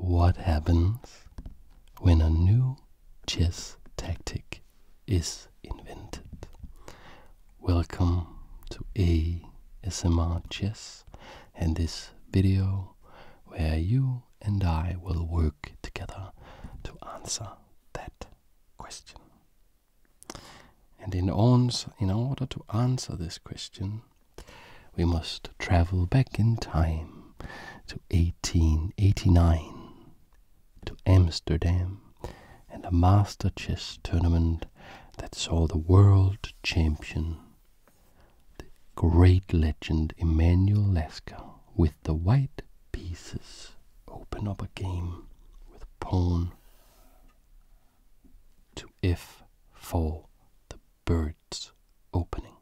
What happens when a new chess tactic is invented? Welcome to a ASMR Chess and this video where you and I will work together to answer that question. And in, in order to answer this question, we must travel back in time to 1889 to Amsterdam and a master chess tournament that saw the world champion, the great legend Emmanuel Lasker, with the white pieces open up a game with pawn to f4, the bird's opening.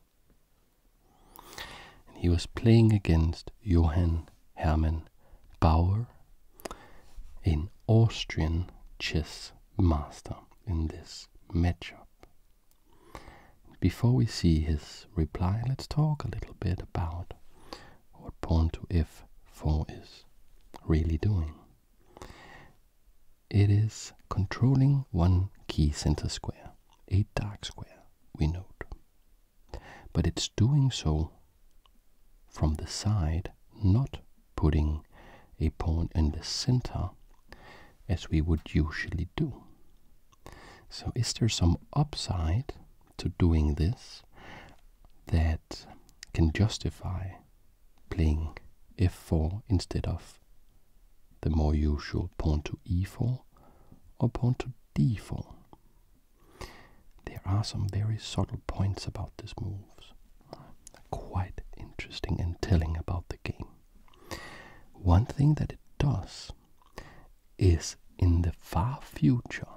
And he was playing against Johann Hermann Bauer, an Austrian chess master, in this matchup. Before we see his reply, let's talk a little bit about what pawn to f4 is really doing it is controlling one key center square, a dark square, we note. But it's doing so from the side, not putting a pawn in the center as we would usually do. So is there some upside to doing this that can justify playing f4 instead of the more usual pawn to e4 or pawn to d4. There are some very subtle points about these moves, quite interesting and telling about the game. One thing that it does is in the far future,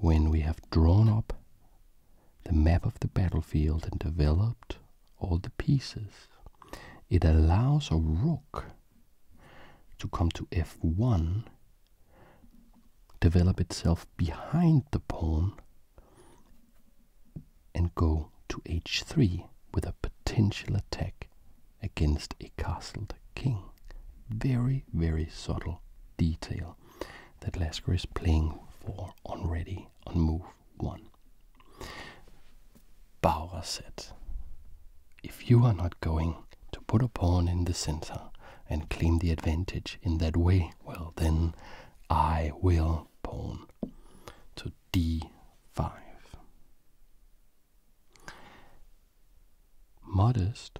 when we have drawn up the map of the battlefield and developed all the pieces. It allows a rook to come to f1, develop itself behind the pawn, and go to h3 with a potential attack against a castled king. Very, very subtle detail that Lasker is playing for already on move one. Bauer said, If you are not going to put a pawn in the center and claim the advantage in that way, well then I will pawn to d5. Modest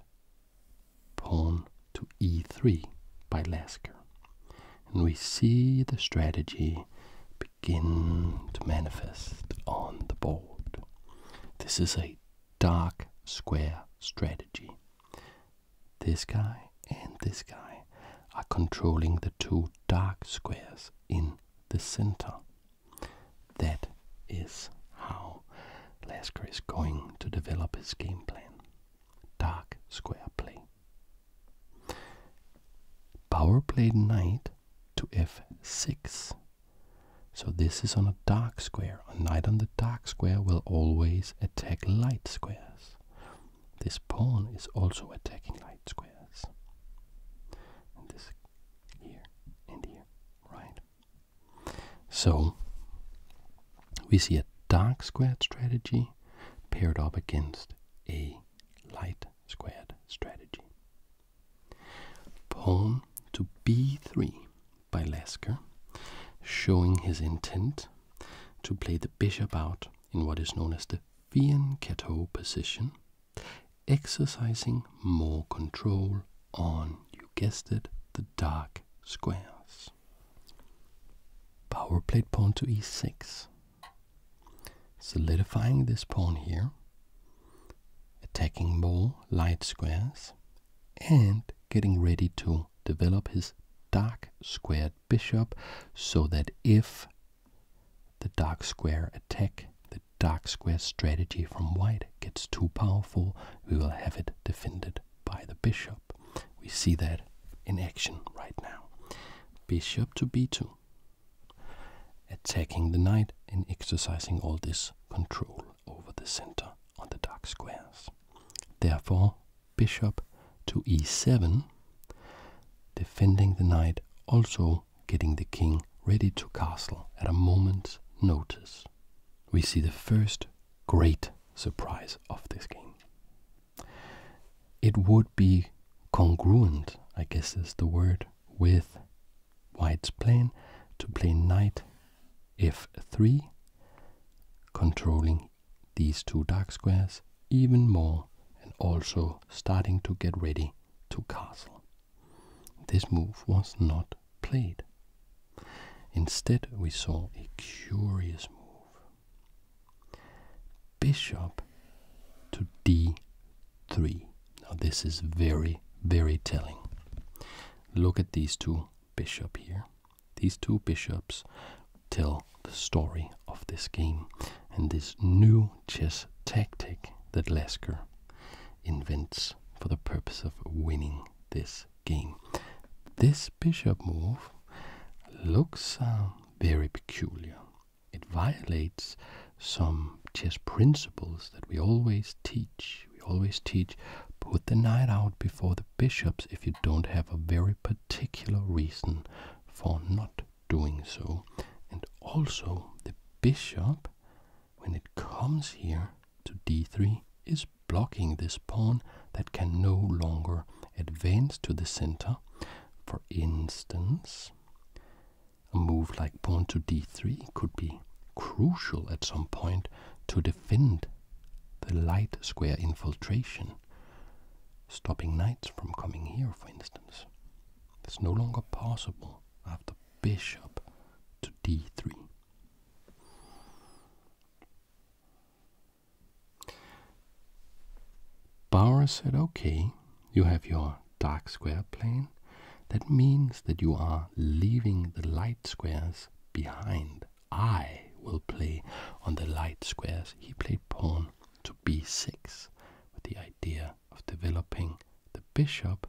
pawn to e3 by Lasker and we see the strategy begin to manifest on the board. This is a dark square strategy. This guy and this guy are controlling the two dark squares in the center. That is how Lasker is going to develop his game plan. Dark square play. Power played knight to f6. So this is on a dark square. A knight on the dark square will always attack light squares. This pawn is also attacking light squares. this here and here, right? So we see a dark squared strategy paired up against a light squared strategy. Pawn to b3 by Lasker, showing his intent to play the bishop out in what is known as the Fianchetto position, exercising more control on, you guessed it, the dark squares. Power played pawn to e6. Solidifying this pawn here. Attacking more light squares. And getting ready to develop his dark squared bishop so that if the dark square attack, the dark square strategy from white gets too powerful, we will have it defended by the bishop. We see that in action right now. Bishop to b2, attacking the knight and exercising all this control over the center on the dark squares. Therefore, bishop to e7, defending the knight, also getting the king ready to castle at a moment's notice. We see the first great surprise of this game it would be congruent, I guess is the word, with white's plan to play knight f3, controlling these two dark squares even more and also starting to get ready to castle. This move was not played. Instead, we saw a curious move bishop to d3. Now, this is very, very telling. Look at these two bishops here. These two bishops tell the story of this game and this new chess tactic that Lasker invents for the purpose of winning this game. This bishop move looks uh, very peculiar. It violates some chess principles that we always teach. We always teach put the knight out before the bishops if you don't have a very particular reason for not doing so. And also, the bishop, when it comes here to d3, is blocking this pawn that can no longer advance to the center for instance, a move like pawn to d3 could be crucial at some point to defend the light square infiltration, stopping knights from coming here, for instance. It's no longer possible after bishop to d3. Bowers said, okay, you have your dark square plane. That means that you are leaving the light squares behind. I will play on the light squares. He played pawn to b6 with the idea of developing the bishop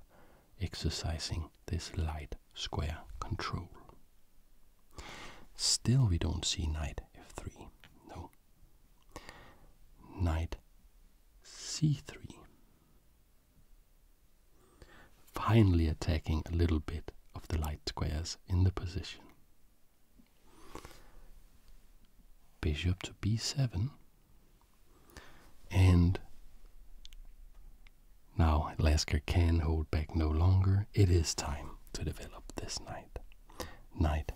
exercising this light square control. Still we don't see knight f3. No knight c3. Finally, attacking a little bit of the light squares in the position. Bishop to b7, and now Lasker can hold back no longer. It is time to develop this knight. Night.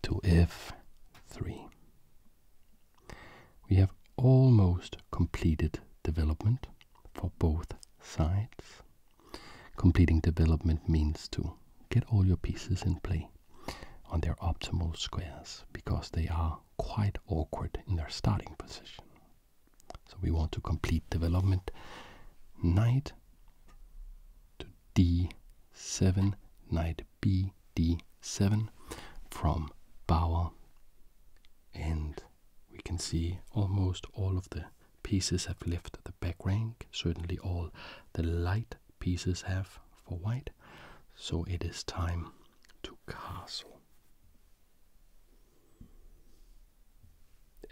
to f3. We have almost completed development for both sides. Completing development means to get all your pieces in play on their optimal squares because they are quite awkward in their starting position. So we want to complete development knight to d7, knight b d7 from Bauer. And we can see almost all of the pieces have left the back rank. Certainly all the light pieces have for white. So it is time to castle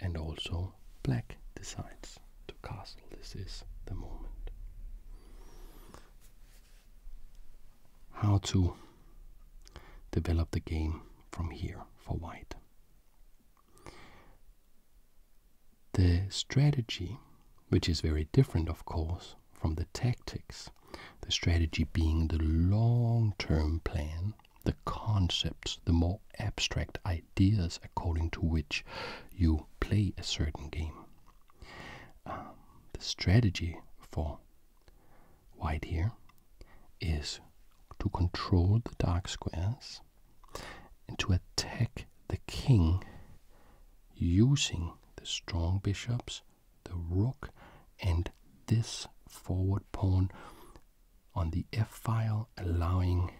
and also black decides to castle. This is the moment. How to develop the game from here for white. The strategy, which is very different, of course, from the tactics, the strategy being the long term plan the concepts, the more abstract ideas according to which you play a certain game. Um, the strategy for white here is to control the dark squares and to attack the king using the strong bishops, the rook, and this forward pawn on the f file, allowing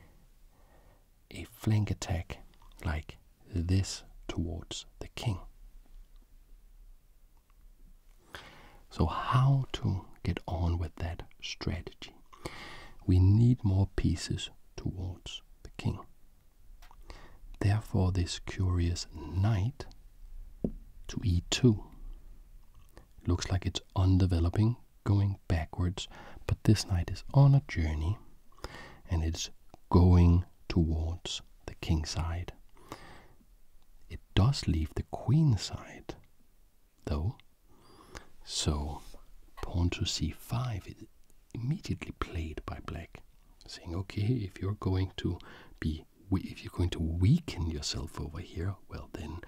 a flank attack like this towards the king. So, how to get on with that strategy? We need more pieces towards the king. Therefore, this curious knight to e2 looks like it's Undeveloping, going backwards, but this knight is on a journey and it's going towards the king side. It does leave the queen side, though. So, pawn to c5 is immediately played by black, saying, okay, if you're going to be if you're going to weaken yourself over here, well then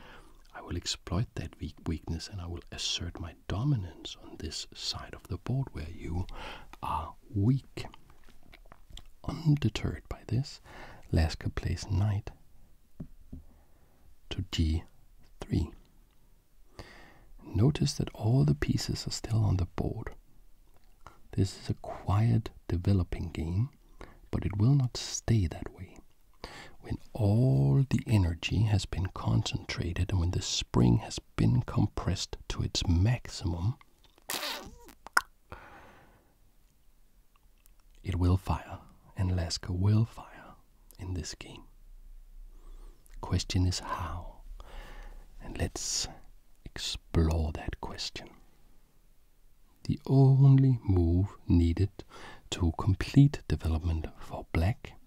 I will exploit that weakness and I will assert my dominance on this side of the board where you are weak. Undeterred by this, Lasker plays knight to g3. Notice that all the pieces are still on the board. This is a quiet developing game but it will not stay that way. When all the energy has been concentrated and when the spring has been compressed to its maximum, it will fire, and Lasker will fire in this game. Question is how, and let's explore that question. The only move needed to complete development for black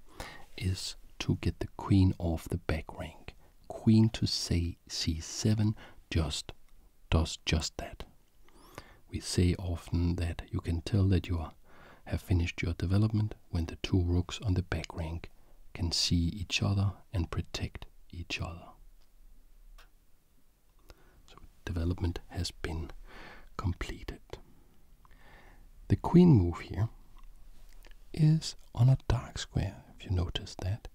is to get the queen off the back rank. Queen to say c7 just does just that. We say often that you can tell that you have finished your development when the two rooks on the back rank can see each other and protect each other. So development has been completed. The queen move here is on a dark square, if you notice that,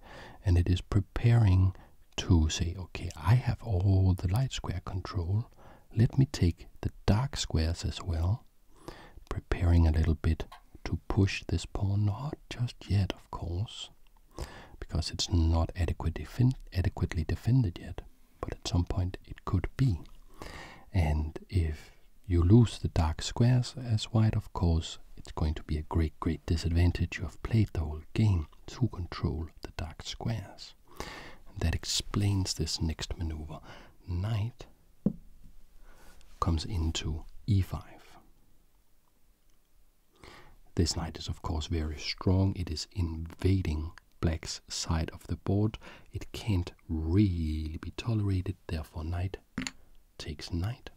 and it is preparing to say, okay, I have all the light square control. Let me take the dark squares as well, preparing a little bit to push this pawn. Not just yet, of course because it's not adequate adequately defended yet, but at some point it could be. And if you lose the dark squares as white, of course, it's going to be a great, great disadvantage. You have played the whole game to control the dark squares. that explains this next maneuver. Knight comes into e5. This knight is, of course, very strong. It is invading black's side of the board. It can't really be tolerated, therefore, knight takes knight.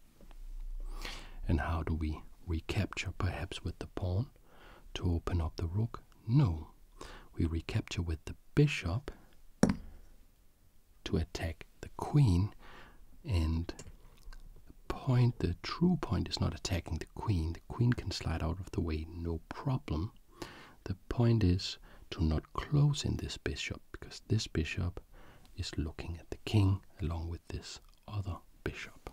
And how do we recapture? Perhaps with the pawn to open up the rook? No. We recapture with the bishop to attack the queen and the point the true point is not attacking the queen queen can slide out of the way, no problem. The point is to not close in this bishop, because this bishop is looking at the king along with this other bishop.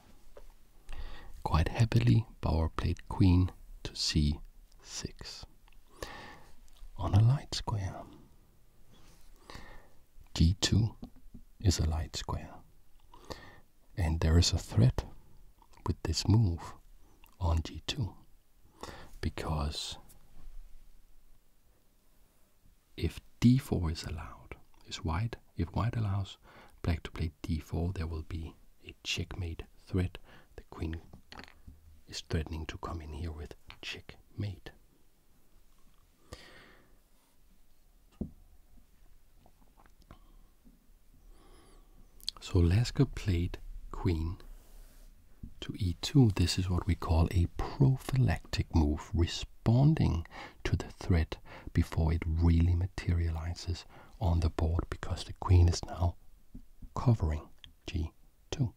Quite happily, Bauer played queen to c6 on a light square. g2 is a light square and there is a threat with this move on g2 because if d4 is allowed, is white, if white allows black to play d4, there will be a checkmate threat. The queen is threatening to come in here with checkmate. So Lasker played queen to e2. This is what we call a prophylactic move, responding to the threat before it really materializes on the board because the queen is now covering g2.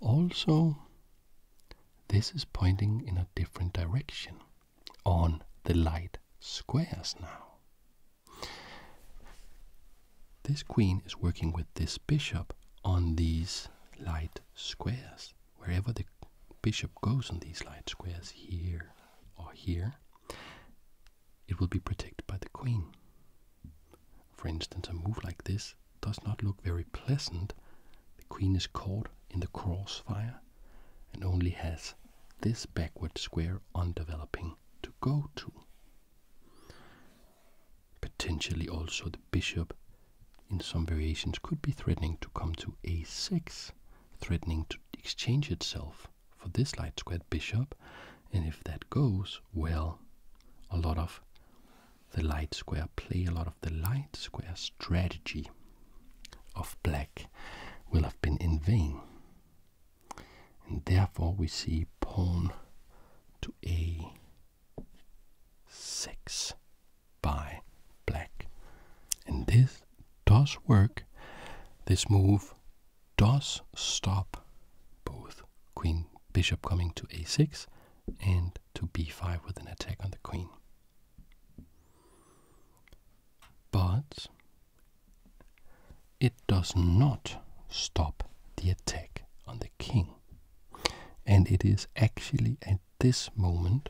Also, this is pointing in a different direction on the light squares now. This queen is working with this bishop on these light squares. Wherever the bishop goes on these light squares, here or here, it will be protected by the queen. For instance, a move like this does not look very pleasant. The queen is caught in the crossfire and only has this backward square on developing to go to. Potentially also the bishop in some variations could be threatening to come to a6, threatening to exchange itself for this light squared bishop, and if that goes, well, a lot of the light square play, a lot of the light square strategy of black will have been in vain. And therefore we see pawn to a6 by black. And this does work. This move does stop both queen bishop coming to a6 and to b5 with an attack on the queen. But it does not stop the attack on the king. And it is actually at this moment,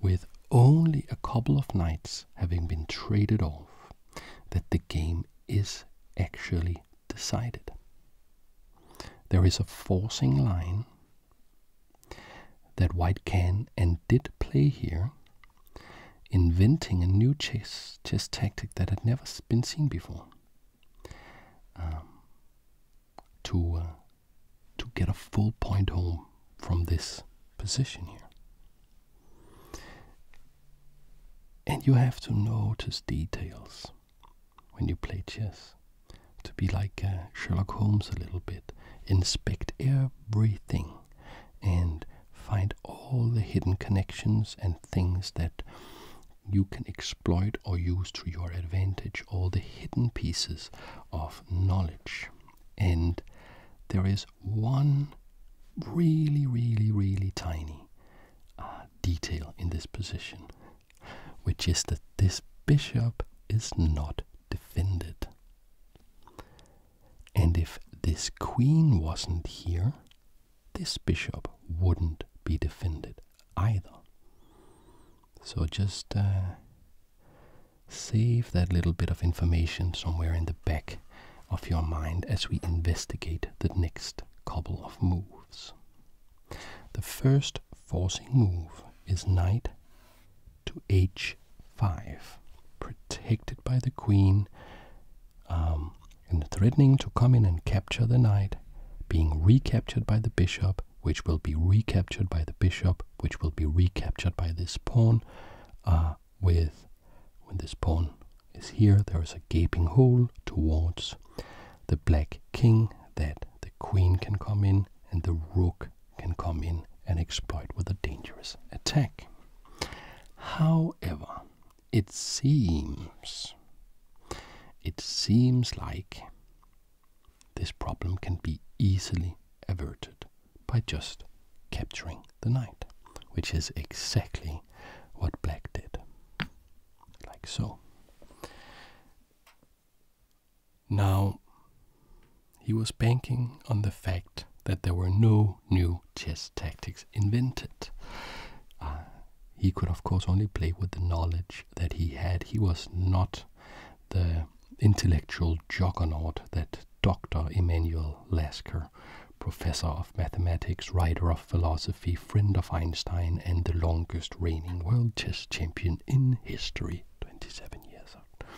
with only a couple of knights having been traded off, that the game is actually decided. There is a forcing line that white can and did play here, inventing a new chess, chess tactic that had never been seen before. Um, to uh, to get a full point home from this position here. And you have to notice details when you play chess. To be like uh, Sherlock Holmes a little bit. Inspect everything and find all the hidden connections and things that you can exploit or use to your advantage, all the hidden pieces of knowledge. And there is one really, really, really tiny uh, detail in this position which is that this bishop is not defended. And if this queen wasn't here, this bishop wouldn't be defended either. So just uh, save that little bit of information somewhere in the back of your mind as we investigate the next couple of moves. The first forcing move is knight to h5, protected by the queen, um, and threatening to come in and capture the knight, being recaptured by the bishop, which will be recaptured by the bishop, which will be recaptured by this pawn. Uh, with when this pawn is here, there is a gaping hole towards the black king that the queen can come in and the rook can come in and exploit with a dangerous attack. However, it seems it seems like this problem can be easily averted by just capturing the knight, which is exactly what black did. Like so. Now, he was banking on the fact that there were no new chess tactics invented. Uh, he could, of course, only play with the knowledge that he had. He was not the intellectual juggernaut that Dr. Emanuel Lasker, professor of mathematics, writer of philosophy, friend of Einstein, and the longest reigning world chess champion, in history, 27 years old,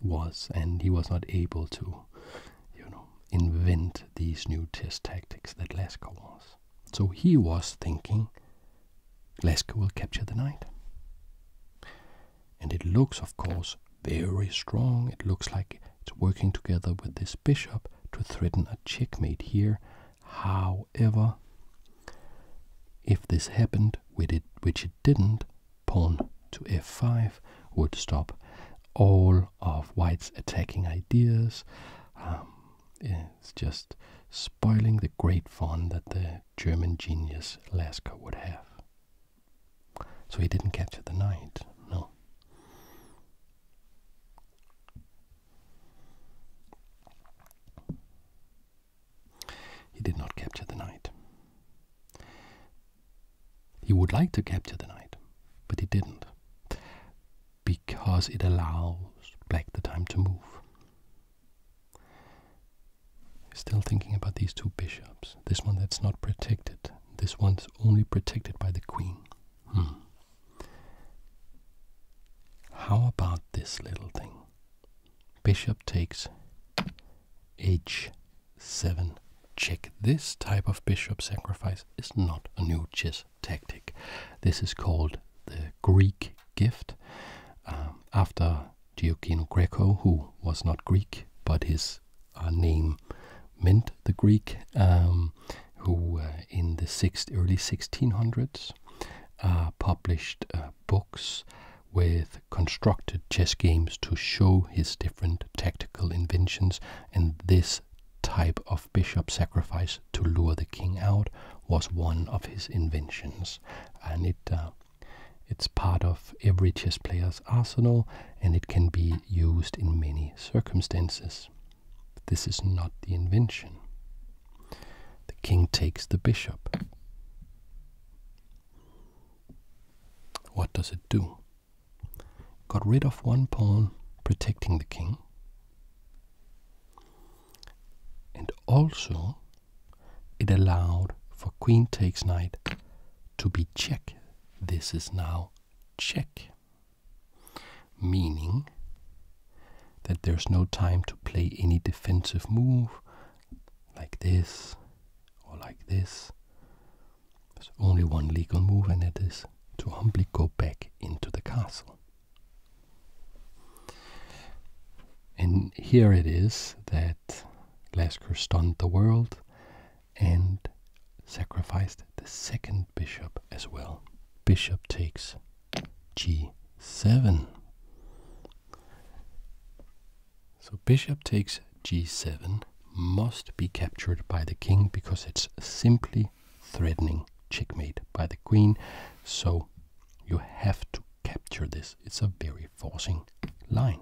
was, and he was not able to, you know, invent these new test tactics that Lasker was. So he was thinking, Lasker will capture the knight. And it looks, of course, very strong. It looks like it's working together with this bishop to threaten a checkmate here However, if this happened, which it, didn't, pawn to f5 would stop all of white's attacking ideas. Um, it's just spoiling the great fun that the German genius Lasker would have. So he didn't capture the knight, no. He did not capture the knight. He would like to capture the knight, but he didn't. Because it allows black the time to move. Still thinking about these two bishops. This one that's not protected. This one's only protected by the queen. Hmm. How about this little thing? Bishop takes h7 check. This type of bishop sacrifice is not a new chess tactic. This is called the Greek gift. Um, after Giochino Greco, who was not Greek, but his uh, name meant the Greek, um, who in the sixth, early 1600s uh, published uh, books with constructed chess games to show his different tactical inventions, and this type of bishop sacrifice to lure the king out was one of his inventions, and it. Uh, it's part of every chess player's arsenal and it can be used in many circumstances. This is not the invention. The king takes the bishop. What does it do? Got rid of one pawn protecting the king. And also, it allowed for queen takes knight to be check. This is now check meaning that there's no time to play any defensive move like this or like this. There's only one legal move, and it is to humbly go back into the castle. And here it is that Lasker stunned the world and sacrificed the second bishop as well. Bishop takes g7. So bishop takes g7 must be captured by the king because it's simply threatening checkmate by the queen. So you have to capture this. It's a very forcing line.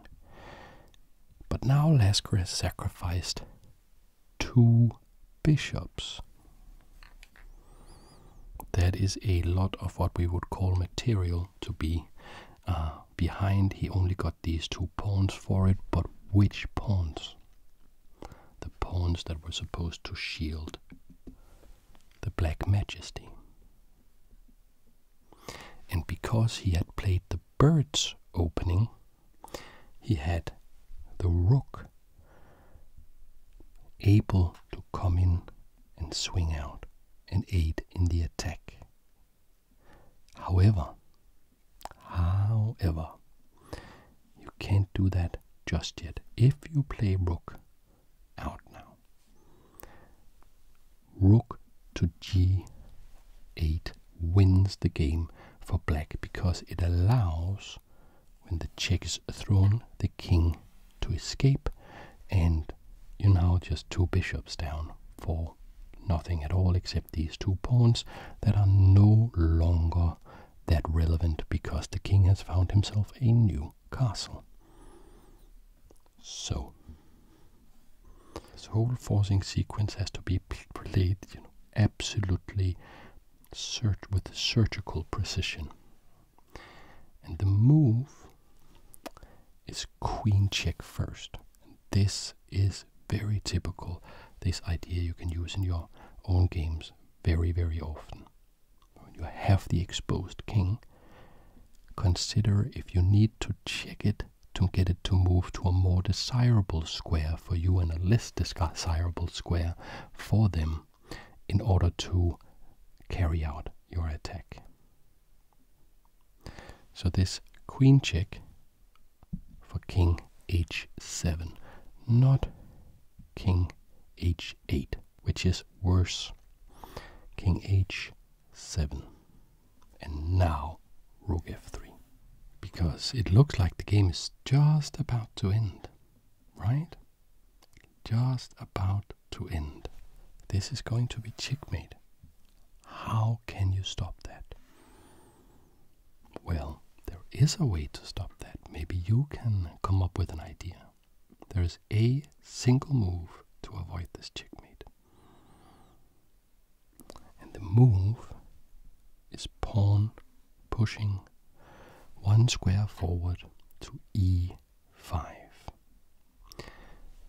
But now Lasker has sacrificed two bishops. That is a lot of what we would call material to be uh, behind. He only got these two pawns for it, but which pawns? The pawns that were supposed to shield the Black Majesty. And because he had played the bird's opening, he had the rook able to come in and swing out and aid in the attack. However, however, you can't do that just yet. If you play rook out now, rook to g8 wins the game for black because it allows when the check is thrown, the king to escape, and you're now just two bishops down for nothing at all except these two pawns that are no longer that relevant because the king has found himself a new castle. So, this whole forcing sequence has to be played you know, absolutely with surgical precision. And the move is queen check first. this is very typical. This idea you can use in your own games very, very often. When you have the exposed king, consider if you need to check it to get it to move to a more desirable square for you and a less desirable square for them in order to carry out your attack. So this queen check for king h7, not king h8, which is worse. King h7, and now rook f3, because it looks like the game is just about to end, right? Just about to end. This is going to be checkmate. How can you stop that? Well, there is a way to stop that. Maybe you can come up with an idea. There is a single move to avoid this checkmate. And the move is pawn pushing one square forward to e5.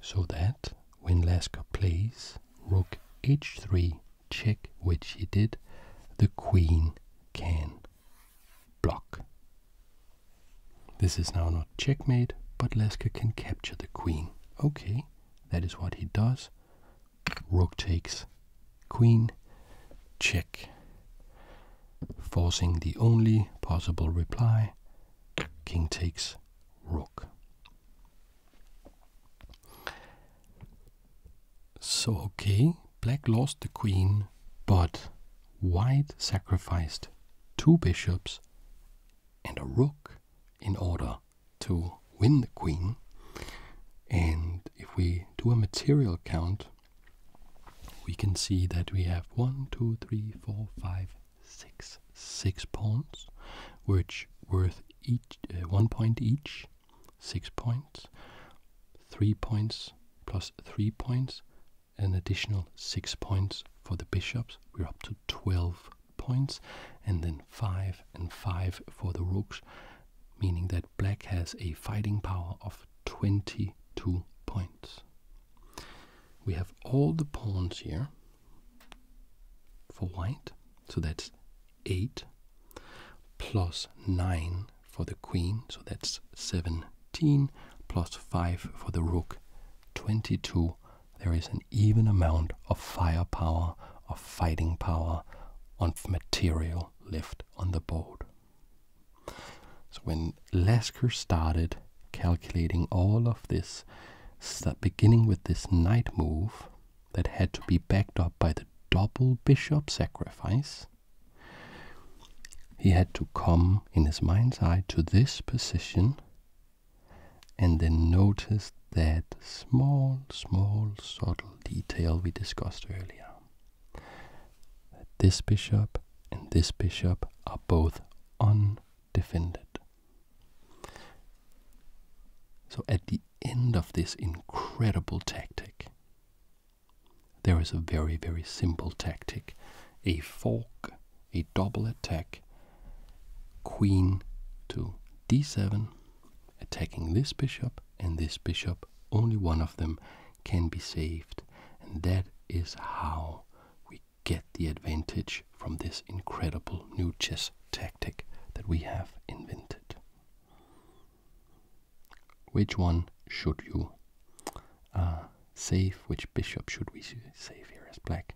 So that when Lasker plays rook h3 check, which he did, the queen can block. This is now not checkmate, but Lasker can capture the queen. Okay, that is what he does. Rook takes queen, check, forcing the only possible reply, king takes rook. So, okay, black lost the queen, but white sacrificed two bishops and a rook in order to win the queen. And if we do a material count, we can see that we have one, two, three, four, five, six, six pawns, which worth each uh, one point each, six points, three points plus three points, an additional six points for the bishops. We're up to twelve points, and then five and five for the rooks, meaning that black has a fighting power of 22 points. We have all the pawns here for white, so that's 8 plus 9 for the queen, so that's 17 plus 5 for the rook, 22. There is an even amount of firepower, of fighting power, of material left on the board. So when Lasker started calculating all of this, start beginning with this knight move that had to be backed up by the double bishop sacrifice, he had to come in his mind's eye to this position and then notice that small, small, subtle detail we discussed earlier that this bishop and this bishop are both undefended. So at the end of this incredible tactic, there is a very, very simple tactic a fork, a double attack, queen to d7, attacking this bishop and this bishop only one of them can be saved, and that is how we get the advantage from this incredible new chess tactic that we have invented. Which one should you uh, save? Which bishop should we save here as black?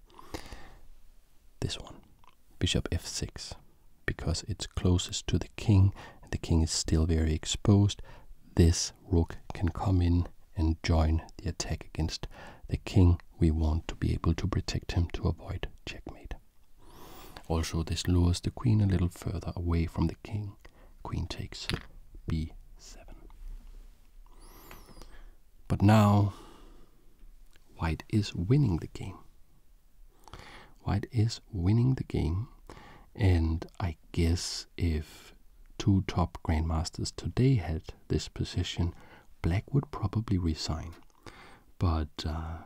This one, bishop f6 because it's closest to the king and the king is still very exposed, this rook can come in and join the attack against the king. We want to be able to protect him to avoid checkmate. Also, this lures the queen a little further away from the king. Queen takes b7. But now, white is winning the game. White is winning the game, and I guess if two top grandmasters today had this position, black would probably resign. But uh,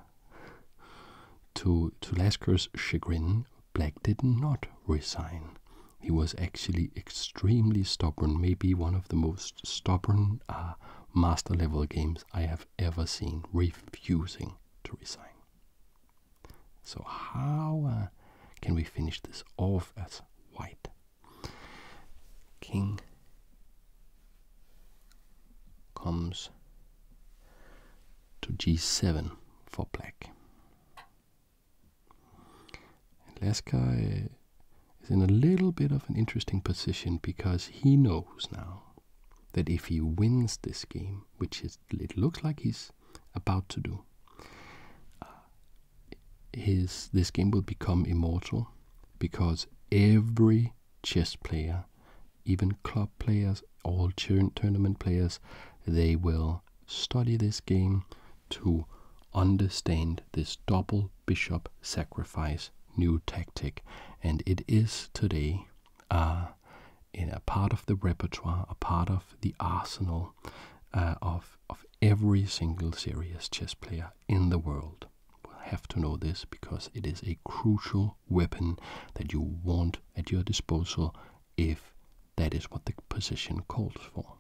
to, to Lasker's chagrin, black did not resign. He was actually extremely stubborn, maybe one of the most stubborn uh, master level games I have ever seen, refusing to resign. So how uh, can we finish this off as white? King comes to g7 for black. And Lasker uh, is in a little bit of an interesting position because he knows now that if he wins this game, which is it, looks like he's about to do. Uh, his this game will become immortal because every chess player, even club players, all tournament players, they will study this game to understand this double bishop sacrifice new tactic, and it is today are uh, in a part of the repertoire, a part of the arsenal uh, of, of every single serious chess player in the world. We'll have to know this because it is a crucial weapon that you want at your disposal if that is what the position calls for.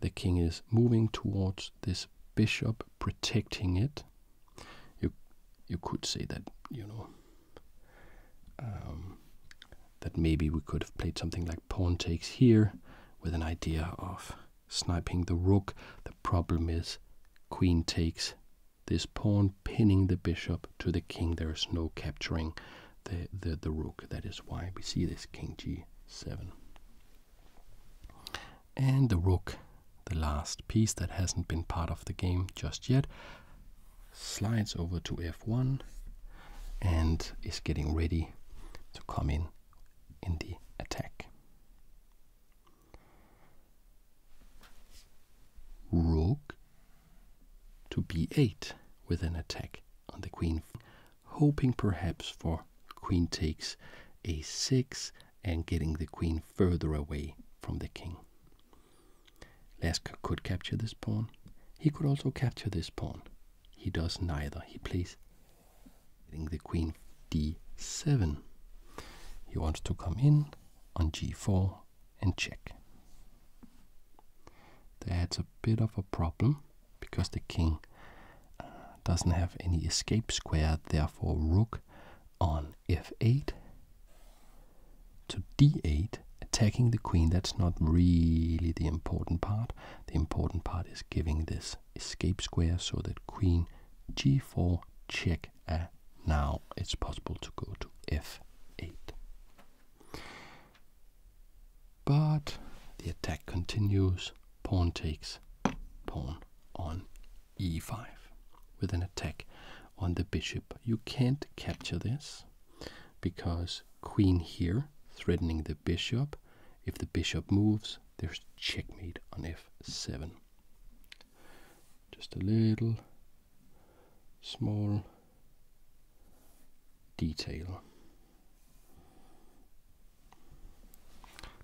The king is moving towards this bishop, protecting it. You you could say that you know um, that maybe we could have played something like pawn takes here with an idea of sniping the rook. The problem is queen takes this pawn, pinning the bishop to the king. There is no capturing the the, the rook. That is why we see this king g7. And the rook the last piece that hasn't been part of the game just yet slides over to f1 and is getting ready to come in in the attack. Rook to b8 with an attack on the queen, hoping perhaps for queen takes a6 and getting the queen further away from the king. Lask could capture this pawn. He could also capture this pawn. He does neither. He plays the queen d7. He wants to come in on g4 and check. That's a bit of a problem because the king uh, doesn't have any escape square, therefore rook on f8 to d8, attacking the queen. That's not really the important part. The important part is giving this escape square so that queen g4 check. Uh, now it's possible to go to f8. But the attack continues. Pawn takes pawn on e5 with an attack on the bishop. You can't capture this because queen here threatening the bishop. If the bishop moves, there's checkmate on f7. Just a little small detail.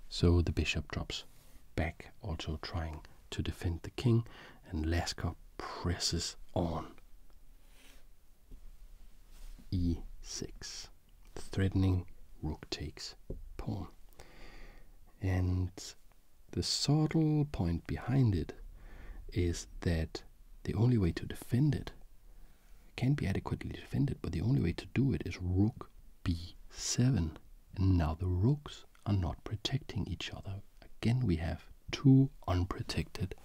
So the bishop drops back, also trying to defend the king, and Lasker presses on. e6, threatening rook takes pawn. And the subtle point behind it is that the only way to defend it can be adequately defended, but the only way to do it is rook b7. And now the rooks are not protecting each other. Again, we have two unprotected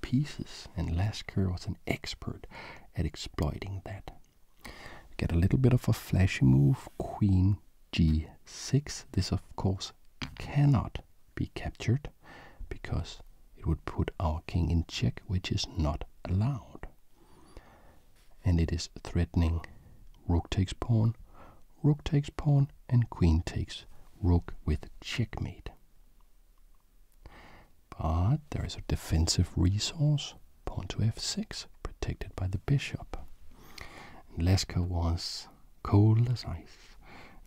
pieces, and Lasker was an expert at exploiting that. get a little bit of a flashy move, queen g6. This, of course, cannot be captured because it would put our king in check, which is not allowed and it is threatening. Rook takes pawn, rook takes pawn, and queen takes rook with checkmate. But there is a defensive resource, pawn to f6, protected by the bishop. And Leska was cold as ice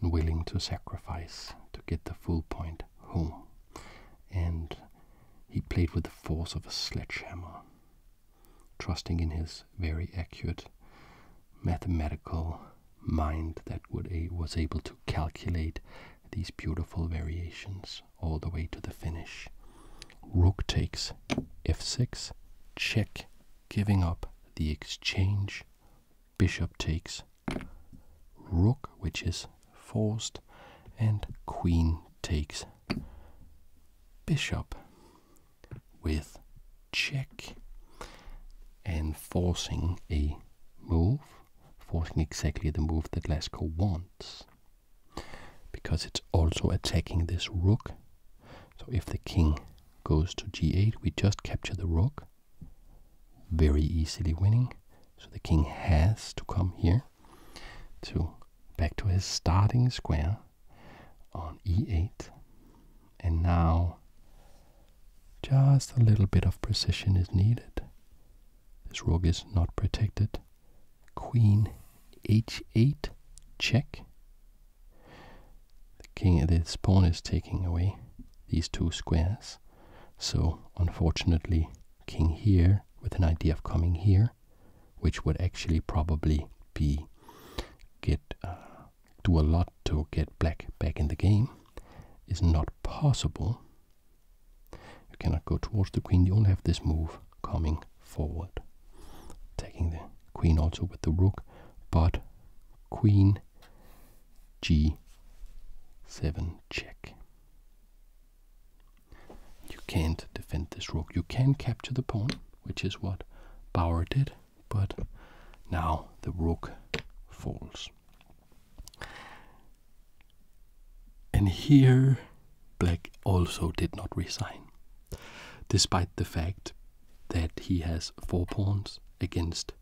and willing to sacrifice to get the full point home. And he played with the force of a sledgehammer trusting in his very accurate mathematical mind that would was able to calculate these beautiful variations all the way to the finish. Rook takes f6, check, giving up the exchange. Bishop takes rook, which is forced, and queen takes bishop with check and forcing a move, forcing exactly the move that Glasgow wants. Because it's also attacking this rook. So if the king goes to g8, we just capture the rook. Very easily winning. So the king has to come here to back to his starting square on e8. And now just a little bit of precision is needed. This rook is not protected. Queen h8 check. The king this pawn is taking away these two squares. So unfortunately king here with an idea of coming here which would actually probably be get uh, do a lot to get black back in the game, is not possible. You cannot go towards the queen. You only have this move coming forward, taking the queen also with the rook, but queen g7 check. You can't defend this rook. You can capture the pawn which is what Bauer did, but now the rook falls. And here Black also did not resign, despite the fact that he has four pawns against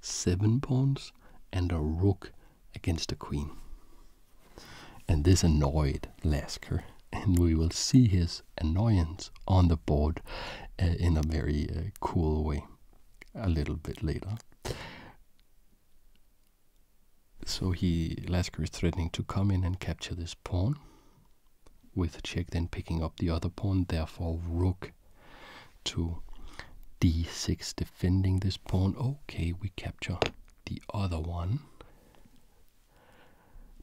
seven pawns and a rook against a queen. And this annoyed Lasker, and we will see his annoyance on the board uh, in a very uh, cool way a little bit later. So he Lasker is threatening to come in and capture this pawn with check then picking up the other pawn therefore rook to d6 defending this pawn okay we capture the other one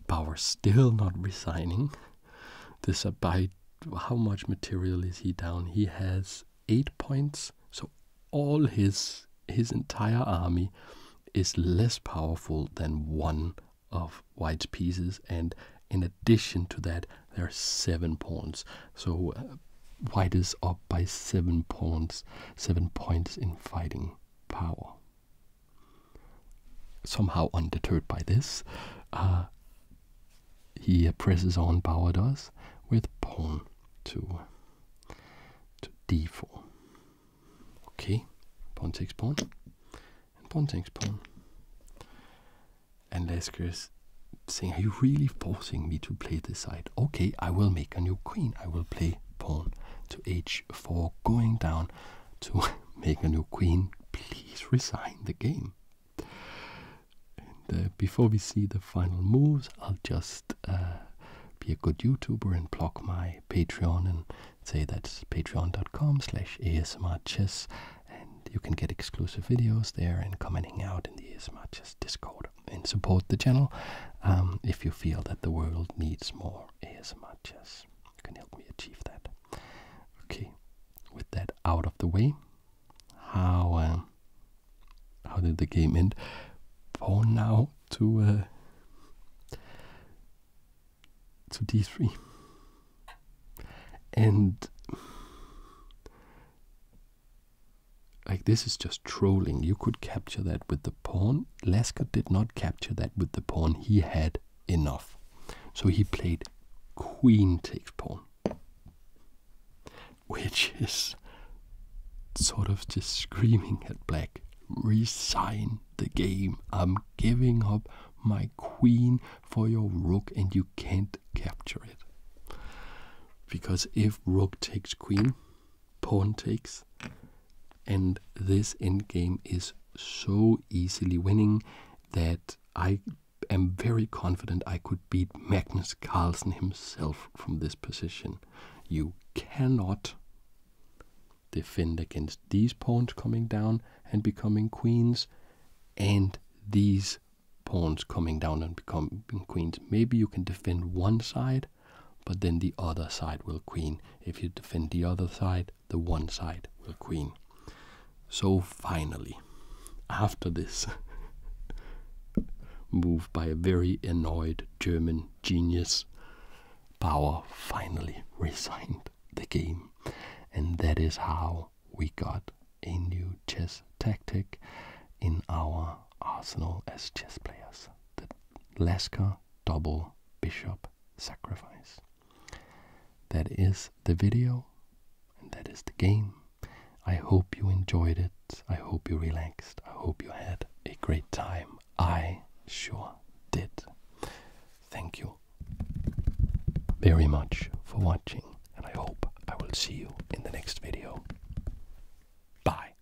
Bauer still not resigning. This abide, how much material is he down? He has eight points, so all his his entire army is less powerful than one of white's pieces, and in addition to that, there are seven pawns. So uh, white is up by seven pawns, seven points in fighting power. Somehow undeterred by this, uh, he presses on Bauerdas with pawn to, to d4. Okay, pawn takes pawn, and pawn takes pawn. And Lasker is saying, Are you really forcing me to play this side? Okay, I will make a new queen. I will play pawn to h for going down to make a new queen. Please resign the game. Uh, before we see the final moves, I'll just uh, be a good YouTuber and block my Patreon and say that's patreon.com slash asmrchess and you can get exclusive videos there and commenting out in the asmrchess Discord and support the channel um, if you feel that the world needs more ASMR. Yes, can help me achieve that. Okay, with that out of the way, how uh, how did the game end? Pawn now to uh, to d3, and like this is just trolling. You could capture that with the pawn game, Lasker did not capture that with the pawn. He had enough. So he played queen takes pawn, which is sort of just screaming at black resign the game. I'm giving up my queen for your rook, and you can't capture it. Because if rook takes queen, pawn takes, and this endgame is so easily winning that I am very confident I could beat Magnus Carlsen himself from this position. You cannot defend against these pawns coming down and becoming queens and these pawns coming down and becoming queens. Maybe you can defend one side but then the other side will queen. If you defend the other side, the one side will queen. So finally, after this move by a very annoyed German genius, Bauer finally resigned the game. And that is how we got a new chess tactic in our arsenal as chess players. The Lasker double bishop sacrifice. That is the video, and that is the game. I hope you enjoyed it. I hope you relaxed. I hope you had a great time. I sure did. Thank you very much for watching, and I hope I will see you in the next video. Bye.